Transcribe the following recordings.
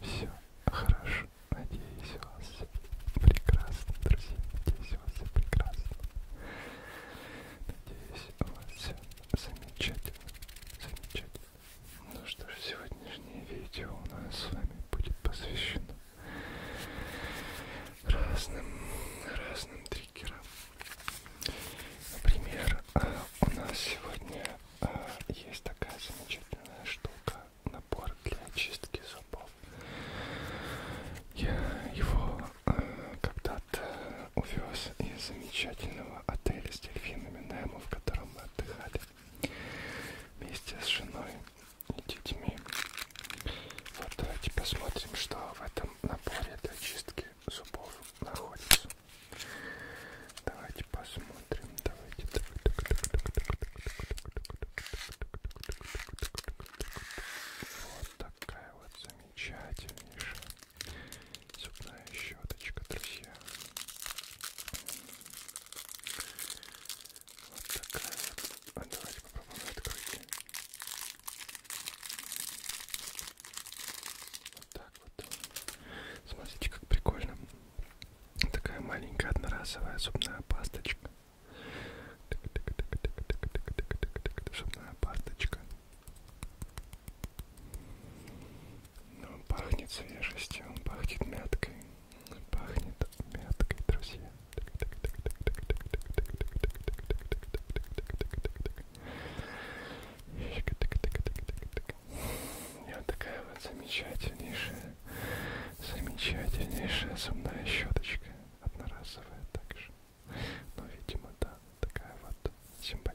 все хорошо. Надеюсь, у вас все прекрасно, друзья. Надеюсь, у вас все прекрасно. Надеюсь, у вас все замечательно. Замечательно. Ну что ж, сегодняшнее видео у нас с вами будет посвящено разным, разным триггерам. Например, у нас сегодня есть такая замечательная штука, набор для очистки зубов. Я его э, когда-то увез из замечательного отеля с дельфинами Немо, в котором мы отдыхали вместе с женой и детьми. Вот давайте посмотрим, что в этом наборе для чистки зубов находится. Давайте посмотрим. Давайте. Вот такая вот замечательнейшая зубная щеточка, друзья. Вот такая вот. А давайте попробуем открыть. Вот так так вот. Смотрите, как прикольно. Такая маленькая одноразовая зубная пасточка. Зубная пасточка. Но он пахнет свежестью, он пахнет мяткой. Он пахнет мяткой, друзья. И вот такая вот замечательнейшая, замечательнейшая зубная щеточка. Одноразовая также. Но, ну, видимо, да, такая вот симпатичная.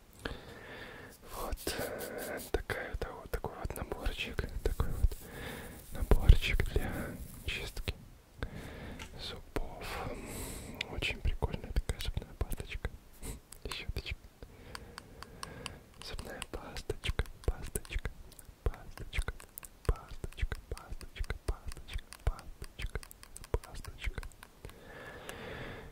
Вот такая вот, вот такой вот наборчик, такой вот наборчик для чистки зубов. Очень прикольная такая зубная пасточка, щеточка. Зубная пасточка, пасточка, пасточка, пасточка, пасточка, пасточка, пасточка, пасточка.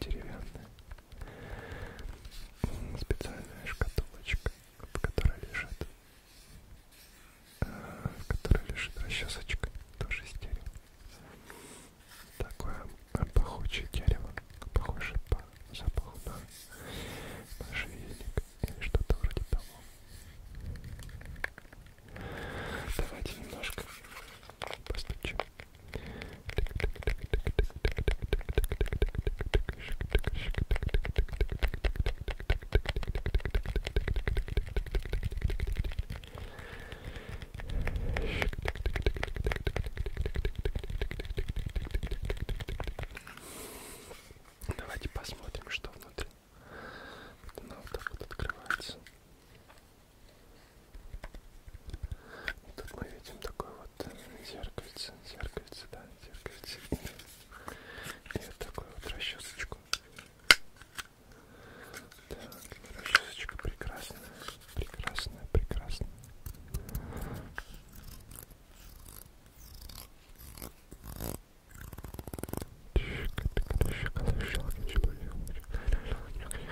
деревянная специальная шкатулочка, в которой лежит, э, в которой лежит расчесочка, тоже из дерева. Такое э, пахучее дерево, похоже по запаху на можжевельник или что-то вроде того. Давайте немножко Просто чек. Давайте посмотрим, что внутри. Она вот так вот открывается. И тут мы видим такое вот зеркальце, зеркальце, да, зеркальце. И вот такую вот расчесочку. Так, расчесочка прекрасная, прекрасная, прекрасная.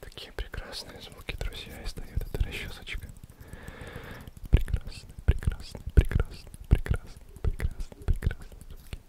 Такие прекрасные звуки, друзья, издает эта расчесочка. Прекрасно, прекрасно, прекрасно, прекрасно, прекрасно, прекрасно звуки.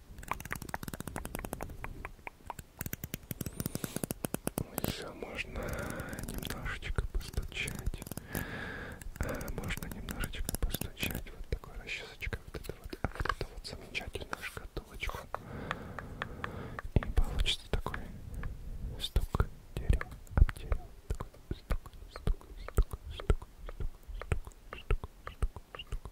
Еще можно немножечко постучать. А, можно немножечко постучать. Вот такой расчесочка. Вот это вот, а вот это вот замечательную шкатулочку. И получится такой стук дерева об дерево. Такой стук, стук, стук, стук, стук, стук, стук, стук, стук, стук,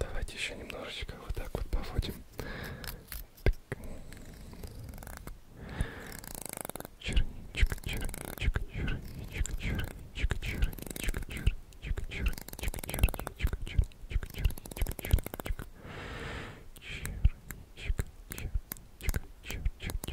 Давайте еще немножечко вот так вот поводим. Так. Черничка, черничка, черничка, черничка, черничка, черничка, черничка, черничка, черничка, черничка, черничка. Черничка, черничка, черничка, черничка.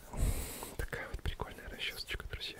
Такая вот прикольная расчесочка, друзья.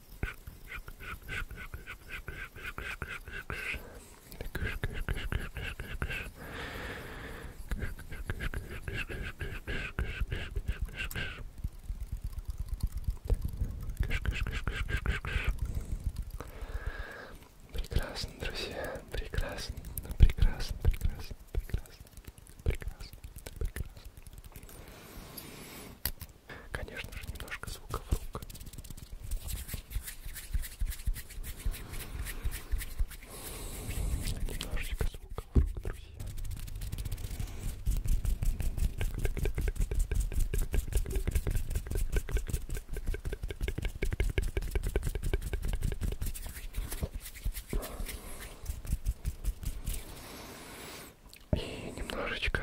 Прекрасно, друзья, прекрасно, прекрасно, прекрасно, прекрасно, прекрасно, прекрасно. Конечно же, немножко звуков рук. Немножечко звуков рук, друзья. И немножечко,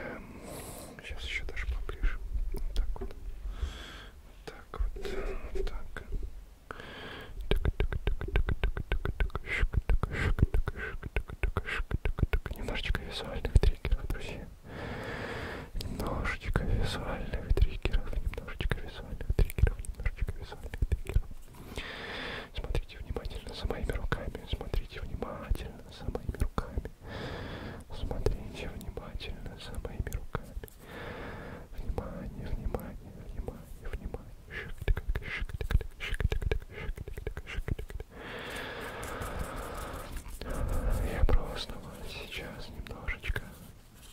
сейчас еще даже поближе, вот так вот, вот так вот, вот так. Немножечко визуальных триггеров, друзья. Немножечко визуальных триггеров, немножечко визуальных триггеров, немножечко визуальных триггеров. Смотрите внимательно за моими руками, смотрите внимательно за моими руками. Смотрите внимательно за моими руками. Внимание, внимание, внимание, внимание. Я просто вас сейчас немножечко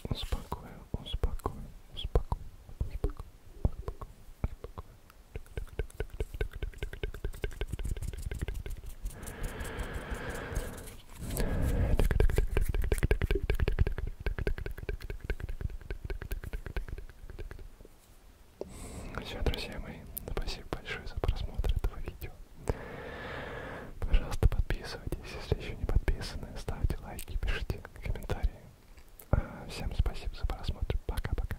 успокою, успокою, успокою, успокою, успокою, успокою, все, друзья мои, спасибо большое за просмотр этого видео. Пожалуйста, подписывайтесь, если еще не подписаны, ставьте лайки, пишите комментарии. А, всем спасибо за просмотр. Пока-пока.